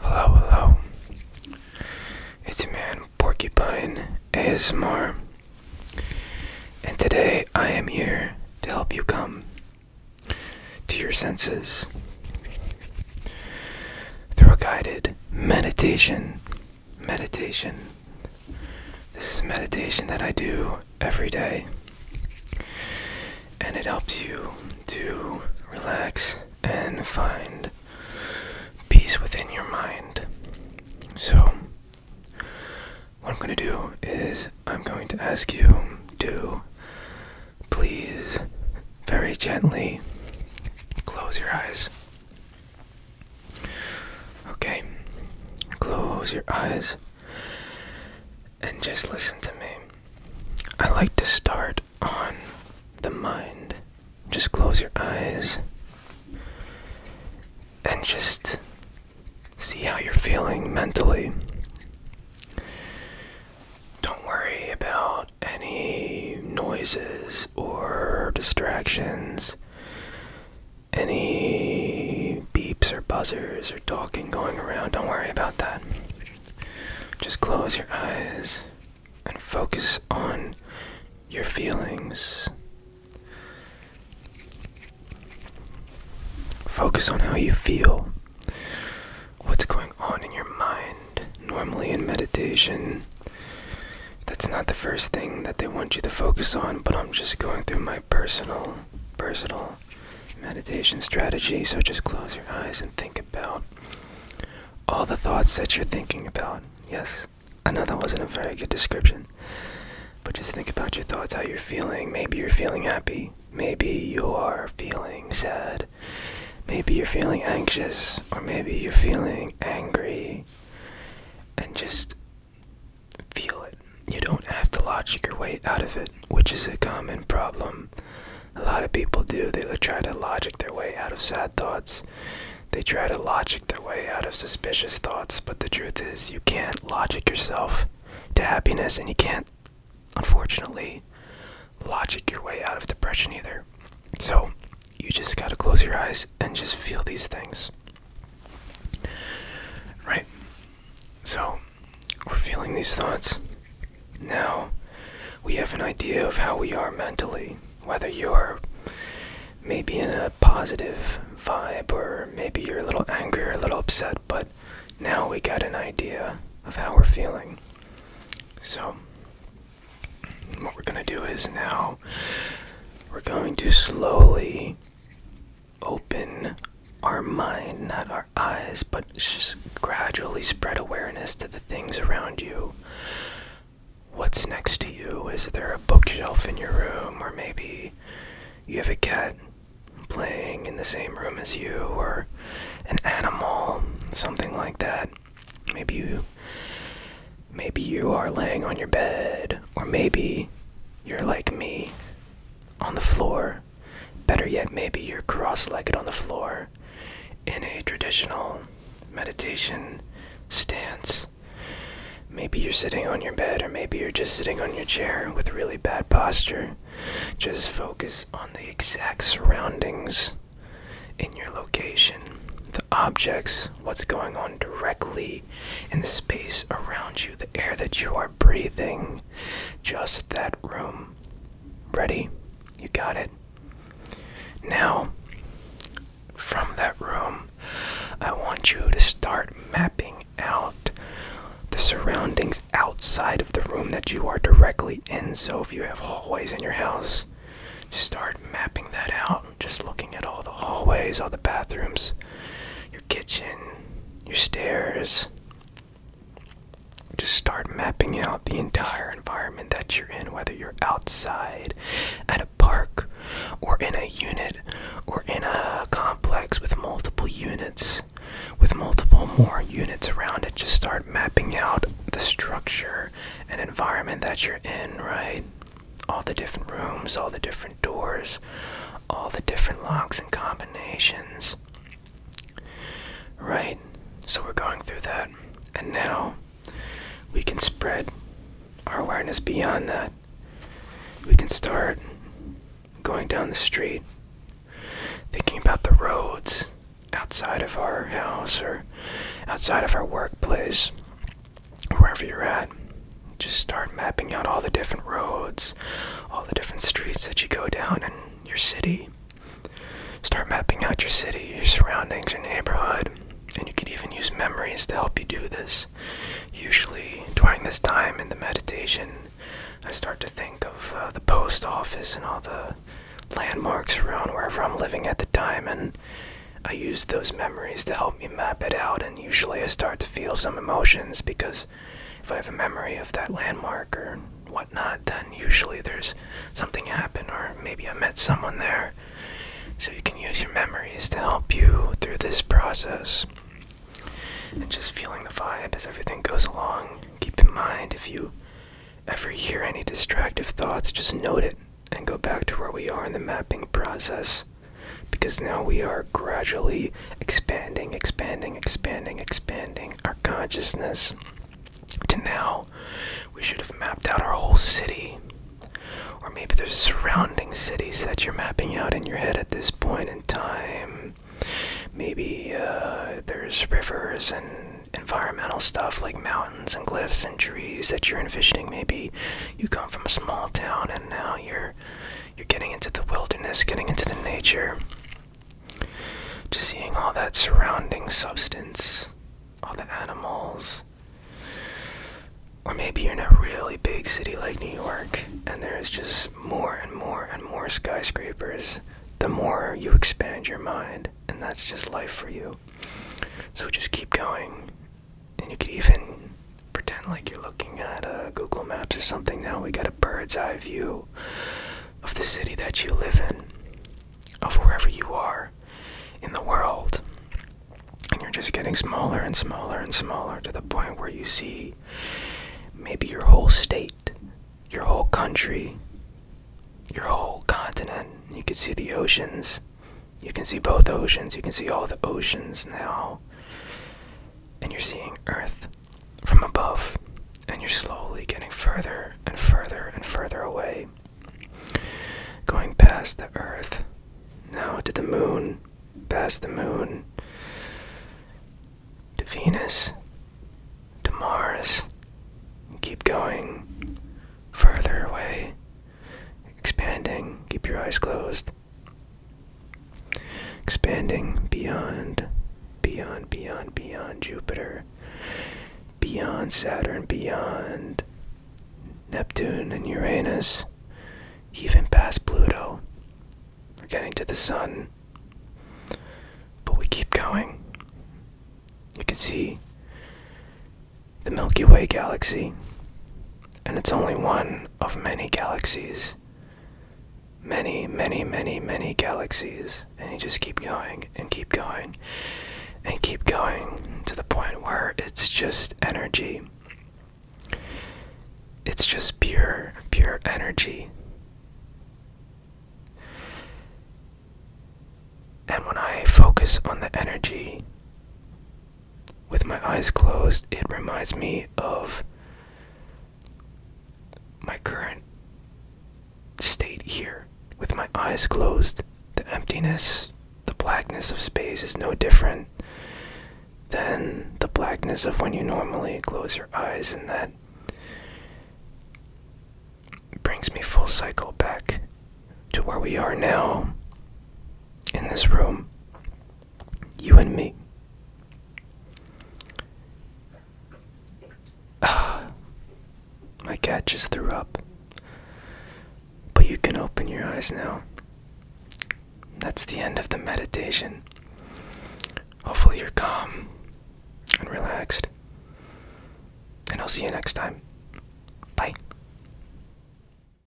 Hello, hello. It's your man Porcupine ASMR, and today I am here to help you come to your senses through a guided meditation. Meditation. This is meditation that I do every day. And it helps you to relax and find peace within your mind. So, what I'm going to do is I'm going to ask you to please very gently close your eyes. Okay, close your eyes and just listen to me. I like to start on the mind. Just close your eyes and just see how you're feeling mentally. Don't worry about any noises or distractions, any beeps or buzzers or talking going around. Don't worry about that. Just close your eyes and focus on your feelings. Focus on how you feel. What's going on in your mind? Normally, in meditation, that's not the first thing that they want you to focus on, but I'm just going through my personal, personal meditation strategy. So just close your eyes and think about all the thoughts that you're thinking about. Yes, I know that wasn't a very good description, but just think about your thoughts, how you're feeling. Maybe you're feeling happy, maybe you are feeling sad, maybe you're feeling anxious, or maybe you're feeling angry. And just Feel it. You don't have to logic your way out of it, which is a common problem. A lot of people do. They try to logic their way out of sad thoughts. They try to logic their way out of suspicious thoughts, but the truth is, you can't logic yourself to happiness, and you can't, unfortunately, logic your way out of depression either. So, you just gotta close your eyes and just feel these things. Right? So, we're feeling these thoughts. Now, we have an idea of how we are mentally, whether you're maybe in a positive vibe or maybe you're a little angry a little upset, but now we got an idea of how we're feeling. So, what we're going to do is now we're going to slowly open our mind, not our eyes, but just gradually spread awareness to the things around you. What's next to you? Is there a bookshelf in your room? Or maybe you have a cat playing in the same room as you, or an animal, something like that. Maybe you. Maybe you are laying on your bed, or maybe you're like me on the floor Better yet, maybe you're cross legged on the floor in a traditional meditation stance. Maybe you're sitting on your bed, or maybe you're just sitting on your chair with really bad posture. Just focus on the exact surroundings in your location, the objects, what's going on directly in the space around you, the air that you are breathing just that room. Ready? You got it. Now, from that room, I want you to start mapping out the surroundings outside of the room that you are directly in. So, if you have hallways in your house, start mapping that out. Just looking at all the hallways, all the bathrooms your kitchen, your stairs. Just start mapping out the entire environment that you're in, whether you're outside, at a park, or in a unit, or in a complex with multiple units, with multiple more units around it. Just start mapping out the structure and environment that you're in, right? All the different rooms, all the different doors, all the different locks and combinations. Right, so we're going through that. And now we can spread our awareness beyond that. We can start going down the street, thinking about the roads outside of our house or outside of our workplace, wherever you're at just start mapping out all the different roads, all the different streets that you go down in your city. Start mapping out your city, your surroundings, your neighborhood, and you could even use memories to help you do this. Usually, during this time in the meditation, I start to think of uh, the post office and all the landmarks around wherever I'm living at the time, and I use those memories to help me map it out. And usually, I start to feel some emotions because if I have a memory of that landmark or whatnot, then usually there's something happened, or maybe I met someone there. So you can use your memories to help you through this process. And just feeling the vibe as everything goes along. Keep in mind if you ever hear any distractive thoughts, just note it and go back to where we are in the mapping process because now we are gradually expanding, expanding, expanding, expanding our consciousness to now we should have mapped out our whole city. Or maybe there's surrounding cities that you're mapping out in your head at this point in time. Maybe uh, there's rivers and environmental stuff like mountains and cliffs and trees that you're envisioning. Maybe you come from a small town and now you're you're getting into the wilderness, getting into the nature, just seeing all that surrounding substance, all the animals. Or maybe you're in a really big city like New York and there's just more and more and more skyscrapers the more you expand your mind, and that's just life for you. So just keep going and you could even pretend like you're looking at uh, Google Maps or something. Now we got a bird's eye view of the city that you live in, of wherever you are in the world. And you're just getting smaller and smaller and smaller to the point where you see maybe your whole state, your whole country, your whole continent. You can see the oceans. You can see both oceans. You can see all the oceans now and you're seeing Earth from above, and you're slowly getting further and further and further away. Going past the Earth, now to the Moon, past the Moon, to Venus, to Mars, keep going further away, expanding, keep your eyes closed. Expanding beyond, beyond, beyond, beyond Jupiter, beyond Saturn, beyond Neptune and Uranus, even past Pluto. We're getting to the sun. But we keep going. You can see the Milky Way galaxy, and it's only one of many galaxies. Many, many, many, many galaxies. And you just keep going and keep going and keep going to the point where it's just energy. It's just pure, pure energy. And when I focus on the energy, with my eyes closed, it reminds me of my current state here. With my eyes closed, the emptiness, the blackness of space is no different than the blackness of when you normally close your eyes, and that brings me full cycle back to where we are now in this room. You and me. My cat just threw up. But you can open your eyes now. That's the end of the meditation. Hopefully, you're calm and relaxed. And I'll see you next time. Bye.